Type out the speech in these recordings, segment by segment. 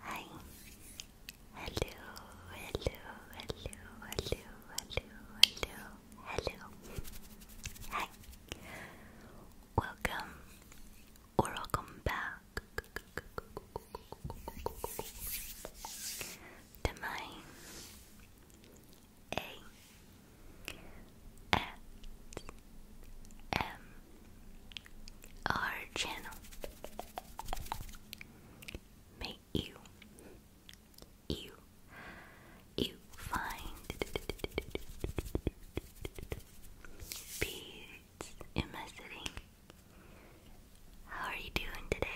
Hi. Hello, hello, hello, hello, hello, hello, Hi welcome or welcome back to my A S M R channel. May you, you you find beads in my sitting. How are you doing today?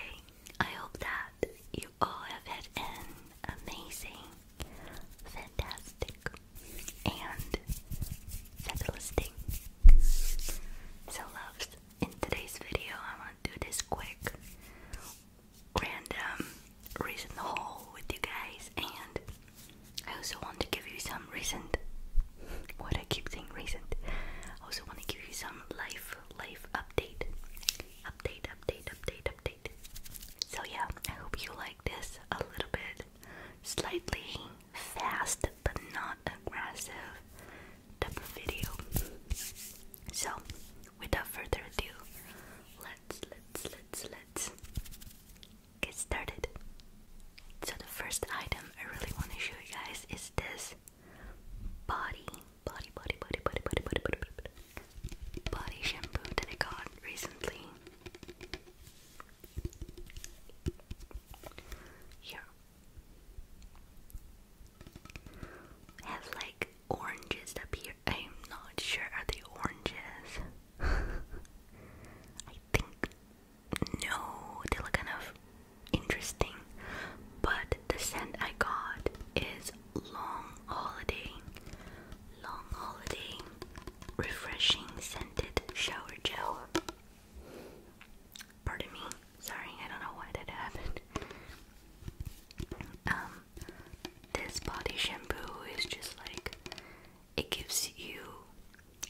I hope that you all have had an amazing, fantastic, and fabulous So, loves, in today's video, I want to do this quick random recent haul with you guys, and I also want to give you some recent. What I keep saying recent. I also want to give you some life, life update, update, update, update, update. So yeah, I hope you like this a little bit, slightly fast but not aggressive type of video. So, without further ado, let's let's let's let's get started. So the first item I really want to show you guys is this body body body body body body body body body body shampoo that I got recently. Here. Have like oranges up here I'm not sure. Are the oranges? I think no. They look kind of interesting. But the scent I got is Long Holiday. Long Holiday Refreshing Scented Shower Gel. Pardon me. Sorry, I don't know why that happened. Um, this body shampoo is just like it gives you.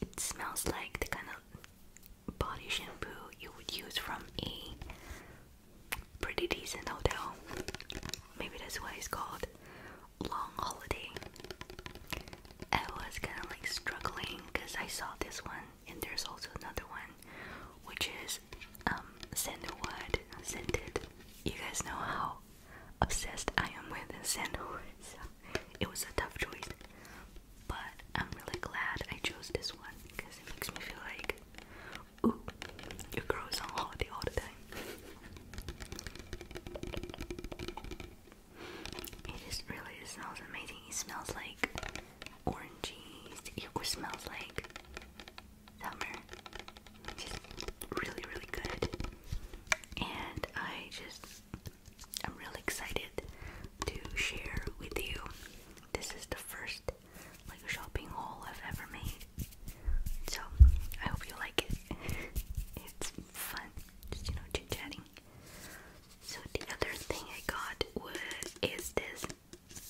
It smells like the kind of body shampoo you would use from a pretty decent hotel. Maybe that's why it's called Long Holiday. I was kind of like struggling because I saw this one, and there's also another one, which is sandalwood um, scented. You guys know how obsessed I am with sandalwood, it was a tough choice. But I'm really glad I chose this one because it makes me feel like, ooh, your girl is on holiday all the time. It just really smells amazing. It smells like oranges. It smells like summer. really, really good. And I just, I'm really excited to share with you. This is the first like shopping haul I've ever made. So I hope you like it. it's fun, just you know, chit chatting. So the other thing I got was this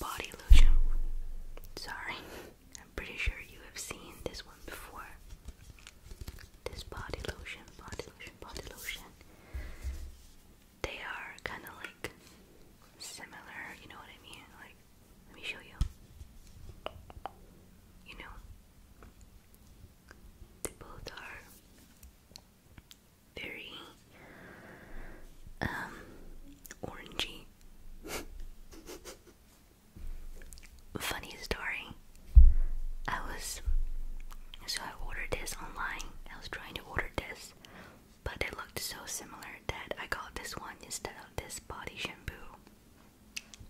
body lotion. Sorry, I'm pretty sure you have seen this one before. This body lotion, body lotion, body lotion. They are kind of like similar, you know what I mean? Like, let me show you. You know, they both are very um, orangey. Funny story. I was so I ordered this online. I was trying to order this, but it looked so similar that I got this one instead of this body shampoo.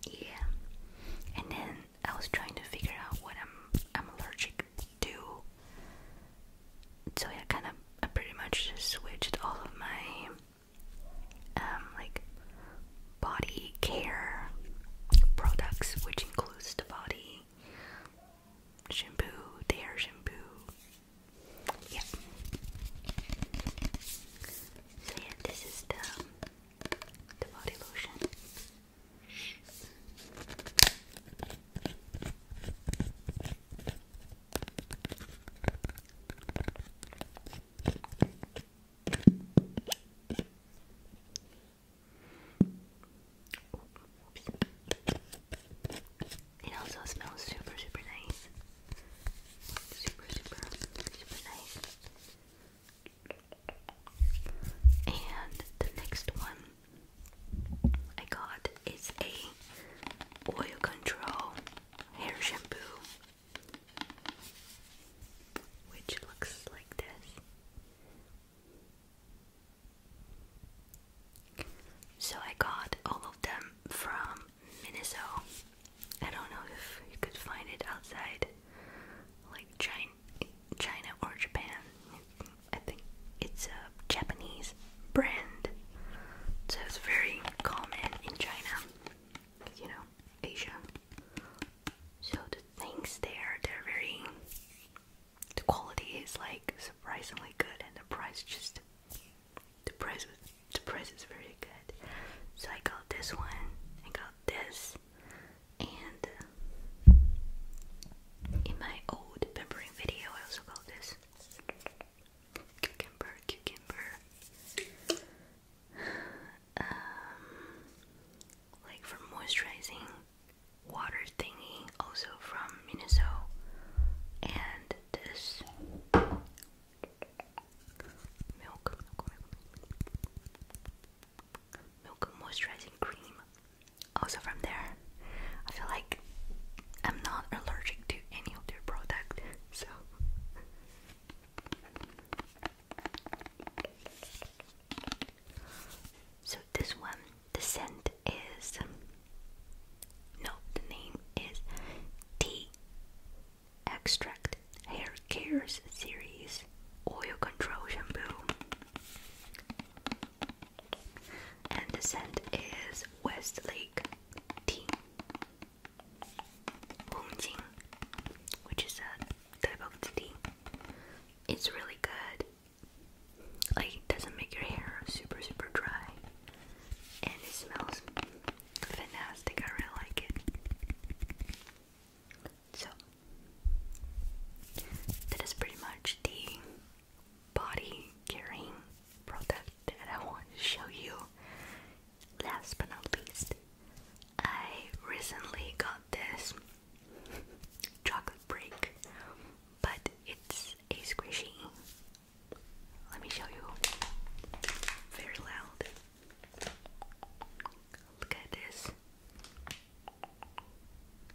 Yeah. And then I was trying to figure out what I'm I'm allergic to so yeah, kind of, I pretty much just switched all of my, um, like, body care products, which includes the body shampoo, the hair shampoo, yeah. So yeah, this is the, the body lotion. It also smells super, super nice. Super, super, super nice. And the next one I got is a oil control hair shampoo which looks like this. So I got all of them from Minnesota. I don't know if you could find it outside like China, China or Japan. I think it's a Japanese brand, so it's very common in China, you know, Asia. So the things there, they're very. The quality is like surprisingly good, and the price just the price was, the price is very good. So I got this one, I got this, and uh, in my old peppering video, I also called this cucumber, cucumber. Um, like for moisturizing water thingy, also from Minnesota, and this milk, milk, milk, milk, milk moisturizing cream also from there. I feel like I'm not allergic to any of their product, so so this one, the scent is no, the name is tea extract hair cares series oil control shampoo and the scent is West Lake tea, Hongjing, which is a type of tea. It's really good. Like it doesn't make your hair super super dry, and it smells fantastic. I really like it. So that is pretty much the body caring product that I want to show you. Last but not least, I recently got this chocolate break, but it's a squishy. Let me show you. Very loud. Look at this.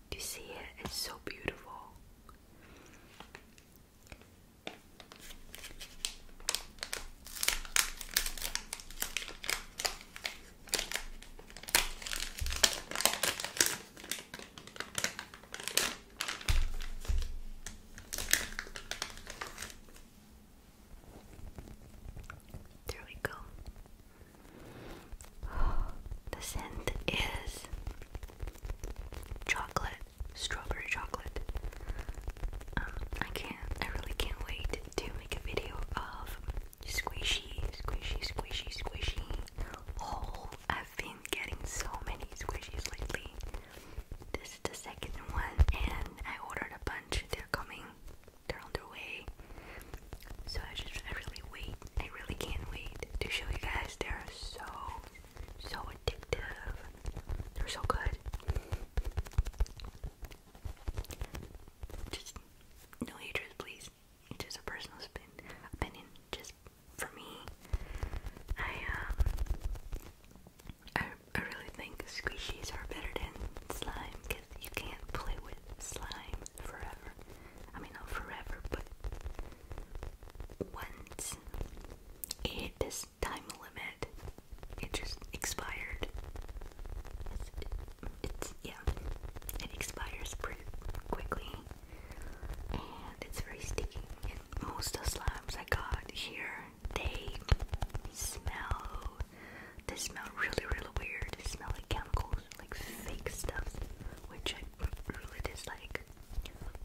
Do you see it? It's so beautiful. There we go. The scent is chocolate, strawberry chocolate. Um, I can't, I really can't wait to make a video of squishy, squishy, squishy, squishy haul. Oh, I've been getting so many squishies lately. This is the second one, and I ordered a bunch. They're coming they're on their way. So I just I really wait. I really can't wait to show you guys. They're so so addictive. They're so good. Just no hatred, please. It's just a personal spin opinion. Just for me, I um, I I really think squishies are better than slime you can't play with slime forever. I mean, not forever, but once it hit time limit, it just expired. It's, it's yeah, it expires pretty quickly, and it's very sticky. And most of the slimes I got here, they smell they smell really, really weird. They smell like chemicals, like fake stuff, which I really dislike.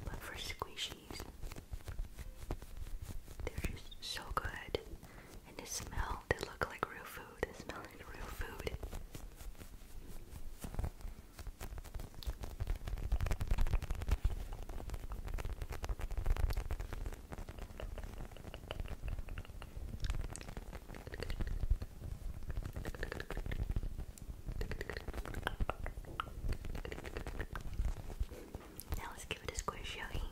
But for squishies, they're just so good. And they smell, they look like real food. They smell like real food. Now let's give it a squish, shall we? Okay.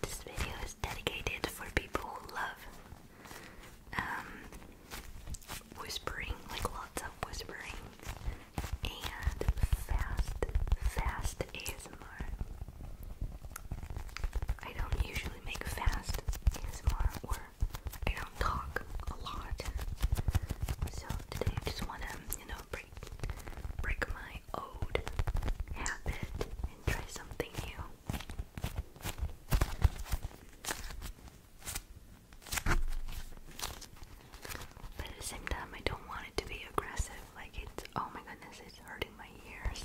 This video is dedicated for people who love um, whispering, like lots of whispering, and fast, fast I don't usually make fast ASMR or I don't talk a lot. So today I just wanna, you know, break break my old habit and try something new. But at the same time I don't want it to be aggressive. Like it's oh my goodness, it's hurting my ears.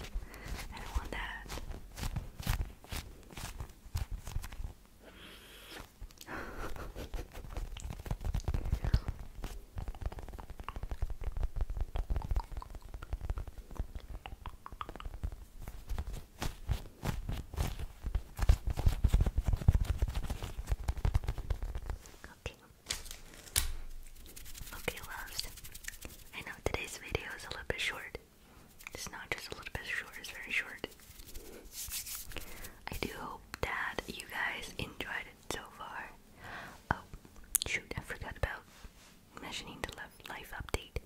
I want that. okay, Okay, loves. I know today's video is a little bit short. It's not just a little bit short, it's very short. I do hope that you guys enjoyed it so far. Oh, shoot, I forgot about mentioning the life update.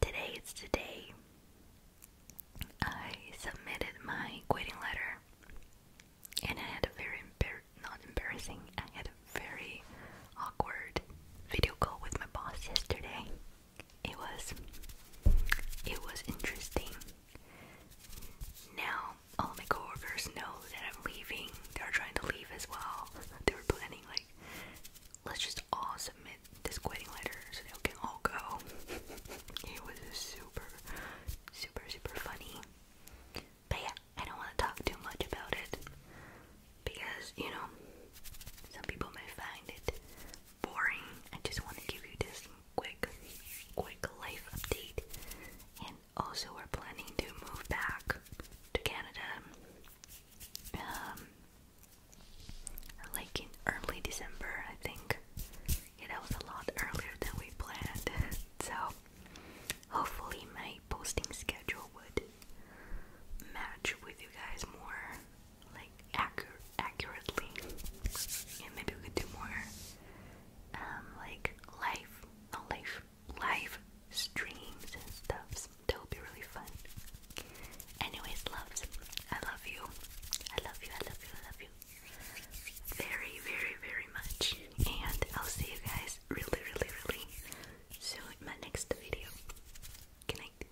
Today is the day I submitted my quitting letter and I had a very not embarrassing. I had a very awkward video call with my boss yesterday. It was it was interesting. Now all my coworkers know that I'm leaving. They're trying to leave as well. They were planning like let's just all submit this quitting letter so they can all go. it was super super super funny. But yeah, I don't want to talk too much about it because, you know, some people may find it boring. I just want to give you this quick, quick life update. And also, we're planning to move back to Canada um, like in early December, I think yeah, that was a lot earlier than we planned. so hopefully my posting schedule would match with you guys more like accurate accurately and maybe we could do more um like live not live live streams and stuff that would be really fun anyways loves I love you I love you I love you I love you very, very, very much. And I'll see you guys really, really, really soon in my next video. Good night.